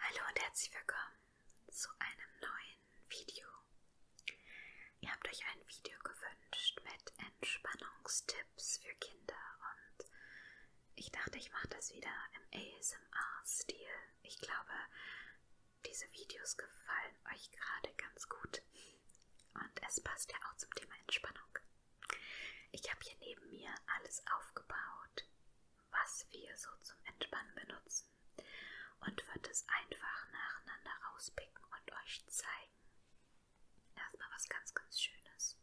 Hallo und herzlich willkommen zu einem neuen Video. Ihr habt euch ein Video gewünscht mit Entspannungstipps für Kinder und ich dachte, ich mache das wieder im ASMR-Stil. Ich glaube, diese Videos gefallen euch gerade ganz gut und es passt ja auch zum Thema Entspannung. Ich habe hier neben mir alles aufgebaut was wir so zum Entspannen benutzen und wird es einfach nacheinander rauspicken und euch zeigen. Erstmal was ganz, ganz Schönes.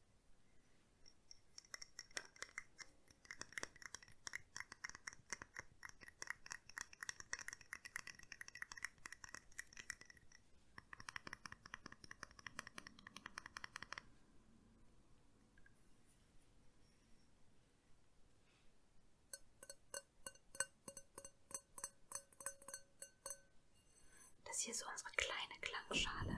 Das hier ist unsere kleine Klangschale.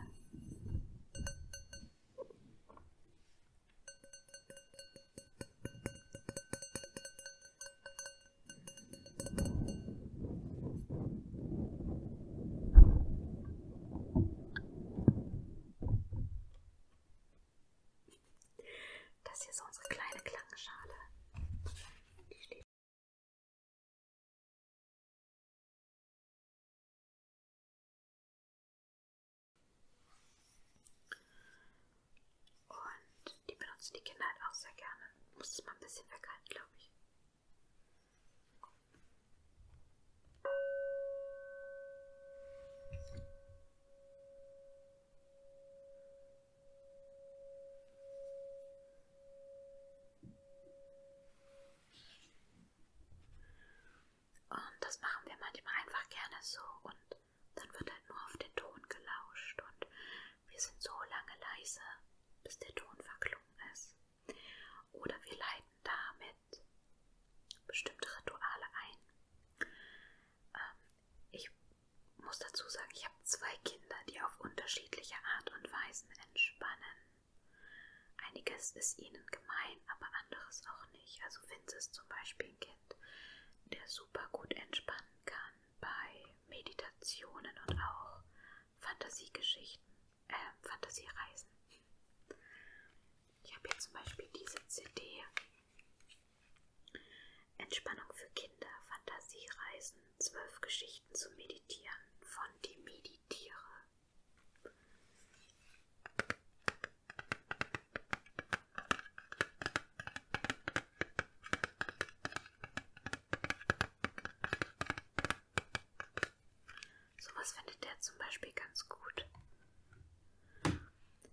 Das hier ist unsere kleine Klangschale. Die steht und die benutzen die Kinder halt auch sehr gerne. Muss es mal ein bisschen weghalten, glaube ich. Und das machen wir manchmal einfach gerne so und dann wird halt nur auf den Ton gelauscht und wir sind so lange leise, bis der Ton verklungen ist. Oder wir leiten damit bestimmte Rituale ein. Ähm, ich muss dazu sagen, ich habe zwei Kinder, die auf unterschiedliche Art und Weisen entspannen. Einiges ist ihnen gemein, aber anderes auch nicht. Also Vince ist zum Beispiel ein Kind, der super gut entspannen kann bei Meditationen und auch Fantasiegeschichten äh, Fantasiereisen. Ich habe hier zum Beispiel diese CD. Entspannung für Kinder, Fantasiereisen, zwölf Geschichten zum Meditieren von die Meditiere. Sowas findet der zum Beispiel ganz gut.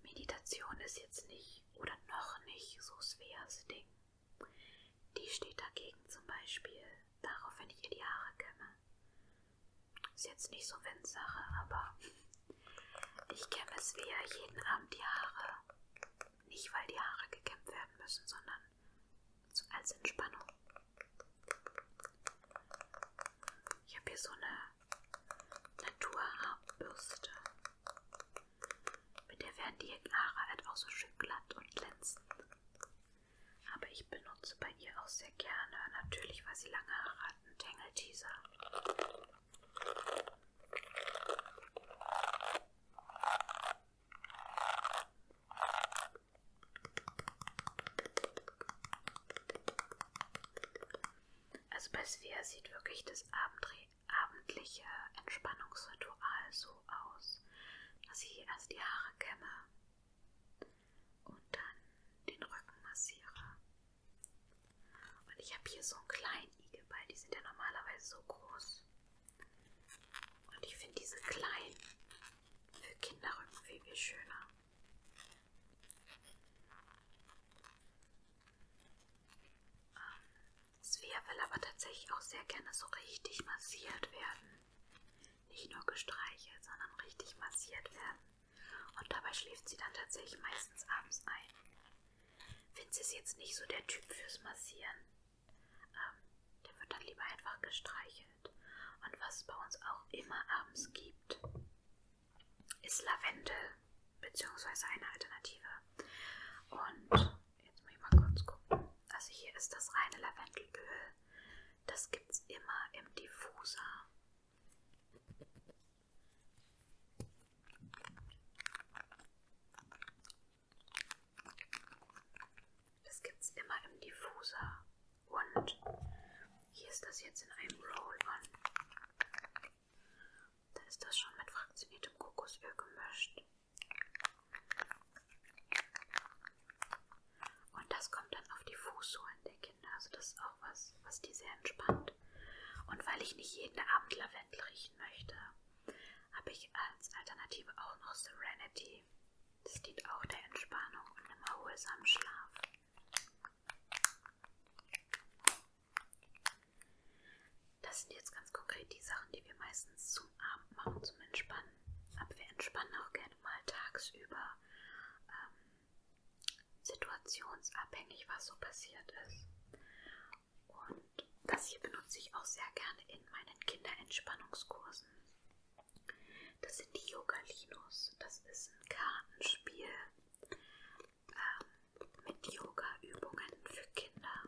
Meditation ist jetzt nicht oder noch nicht so Sveas Ding. Die steht dagegen zum Beispiel darauf, wenn ich ihr die Haare kämme. Ist jetzt nicht so Windsache, aber ich kämme Svea jeden Abend die Haare. Nicht, weil die Haare gekämmt werden müssen, sondern so als Entspannung. Ich habe hier so eine Naturhaarbürste. Mit der werden die Haare halt auch so schön glatt und glänzend. Aber ich benutze bei ihr auch sehr gerne, natürlich, weil sie lange Haare hat, einen Tangle-Teaser. Also bei Svea sieht wirklich das abendliche Entspannungsritual so aus, dass ich erst die Haare kämme und dann den Rücken massiere. Und ich habe hier so einen kleinen Igelball, die sind ja normalerweise so groß. Und ich finde diese kleinen für Kinder irgendwie viel schöner. Ähm, Svea will aber tatsächlich auch sehr gerne so richtig massiert werden. Nicht nur gestreichelt, sondern richtig massiert werden. Und dabei schläft sie dann tatsächlich meistens abends ein. Vince ist jetzt nicht so der Typ fürs Massieren ähm, der wird dann lieber einfach gestreichelt. Und was es bei uns auch immer abends gibt, ist Lavendel, beziehungsweise eine Alternative. Und jetzt muss ich mal kurz gucken. Also hier ist das reine Lavendelöl. Das gibt es immer im Diffuser. Das gibt es immer im Diffuser. Und hier ist das jetzt in einem Roll-On. Da ist das schon mit fraktioniertem Kokosöl gemischt. Und das kommt dann auf die Fußsohlen der Kinder. Also das ist auch was, was die sehr entspannt. Und weil ich nicht jeden Abend Lavendel riechen möchte, habe ich als Alternative auch noch Serenity. Das dient auch der Entspannung und dem erholsamen Schlaf. Das sind jetzt ganz konkret die Sachen, die wir meistens zum Abend machen, zum Entspannen. Aber wir entspannen auch gerne mal tagsüber, ähm, situationsabhängig, was so passiert ist. Und und das hier benutze ich auch sehr gerne in meinen Kinderentspannungskursen. Das sind die Yogalinos. Das ist ein Kartenspiel ähm, mit Yoga-Übungen für Kinder.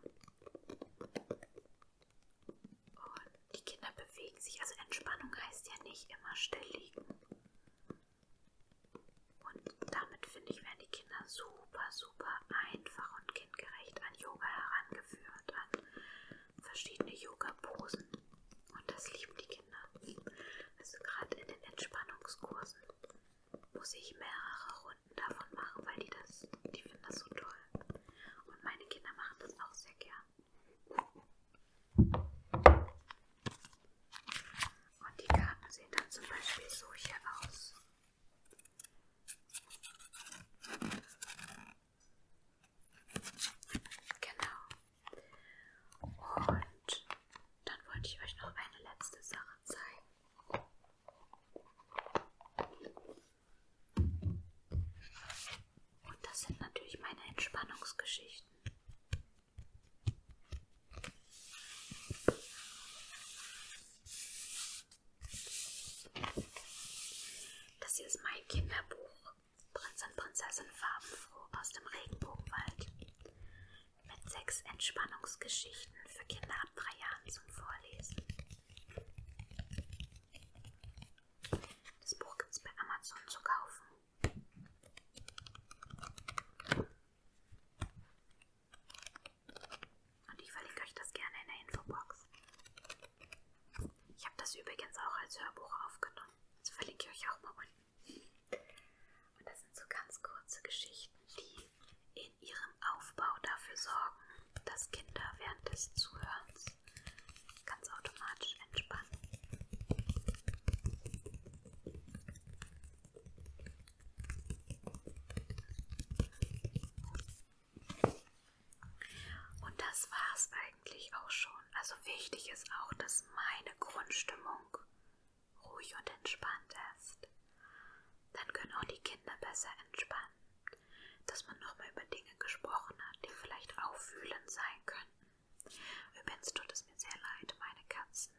Und die Kinder bewegen sich. Also Entspannung heißt ja nicht immer still liegen. Und damit finde ich, werden die Kinder super, super einfach und kindgerecht an Yoga heran rangeführt an verschiedene Yoga-Posen. Und das lieben die Kinder. Also gerade in den Entspannungskursen muss ich mehrere Runden davon machen, weil die das, die finden das so toll. Und meine Kinder machen das auch sehr gern. Und die Karten sehen dann zum Beispiel so hier aus. Genau. Und dann wollte ich euch noch eine letzte Sache zeigen. Und das sind natürlich meine Entspannungsgeschichten. Das hier ist mein Kinderbuch. Prinz und Prinzessin farbenfroh aus dem Regenbogenwald. Mit sechs Entspannungsgeschichten für Kinder ab drei Jahren zum Vorlesen. Das Buch gibt es bei Amazon zu kaufen. Und ich verlinke euch das gerne in der Infobox. Ich habe das übrigens auch als Hörbuch aufgenommen. Das verlinke ich euch auch mal unten. Und das sind so ganz kurze Geschichten, die in ihrem Aufbau dafür sorgen, dass Kinder während des Zuhörens ganz automatisch entspannen. Und das war's eigentlich auch schon. Also wichtig ist auch, dass meine Grundstimmung ruhig und entspannt ist. Dann können auch die Kinder besser entspannen. Dass man nochmal über Dinge gesprochen hat, die vielleicht auffühlend sein könnten. Übrigens tut es mir sehr leid, meine Katzen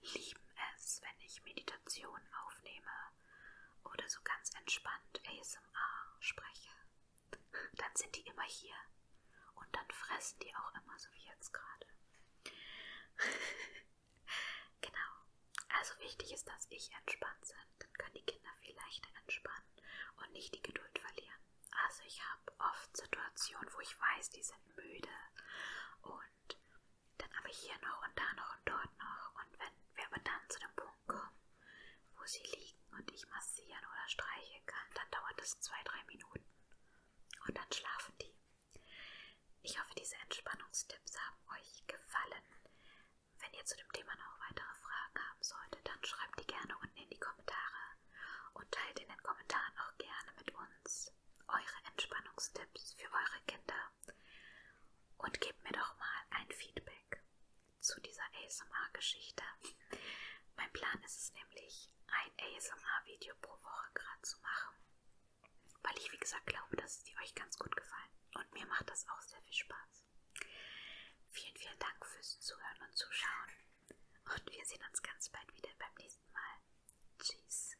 lieben es, wenn ich Meditation aufnehme oder so ganz entspannt ASMR spreche, dann sind die immer hier und dann fressen die auch immer, so wie jetzt gerade. genau. Also wichtig ist, dass ich entspannt bin. Dann können die Kinder viel leichter entspannen und nicht die Geduld verlieren. Also ich habe oft Situationen, wo ich weiß, die sind müde und dann aber hier noch und da noch und dort noch. Und wenn wir aber dann zu dem Punkt kommen, wo sie liegen und ich massieren oder streicheln kann, dann dauert es zwei, drei Minuten. Und dann schlafen die. Ich hoffe, diese Entspannungstipps haben euch gefallen. Wenn ihr zu dem Thema noch weitere Fragen haben solltet, dann schreibt die gerne unten in die Kommentare und teilt in den Kommentaren auch gerne mit uns eure Entspannungstipps für eure Kinder und gebt mir doch mal ein Feedback zu dieser ASMR-Geschichte. Mein Plan ist es nämlich, ein ASMR-Video pro Woche gerade zu machen, weil ich, wie gesagt, glaube, dass die euch ganz gut gefallen und mir macht das auch sehr viel Spaß. Vielen, vielen Dank fürs Zuhören und Zuschauen und wir sehen uns ganz bald wieder beim nächsten Mal. Tschüss.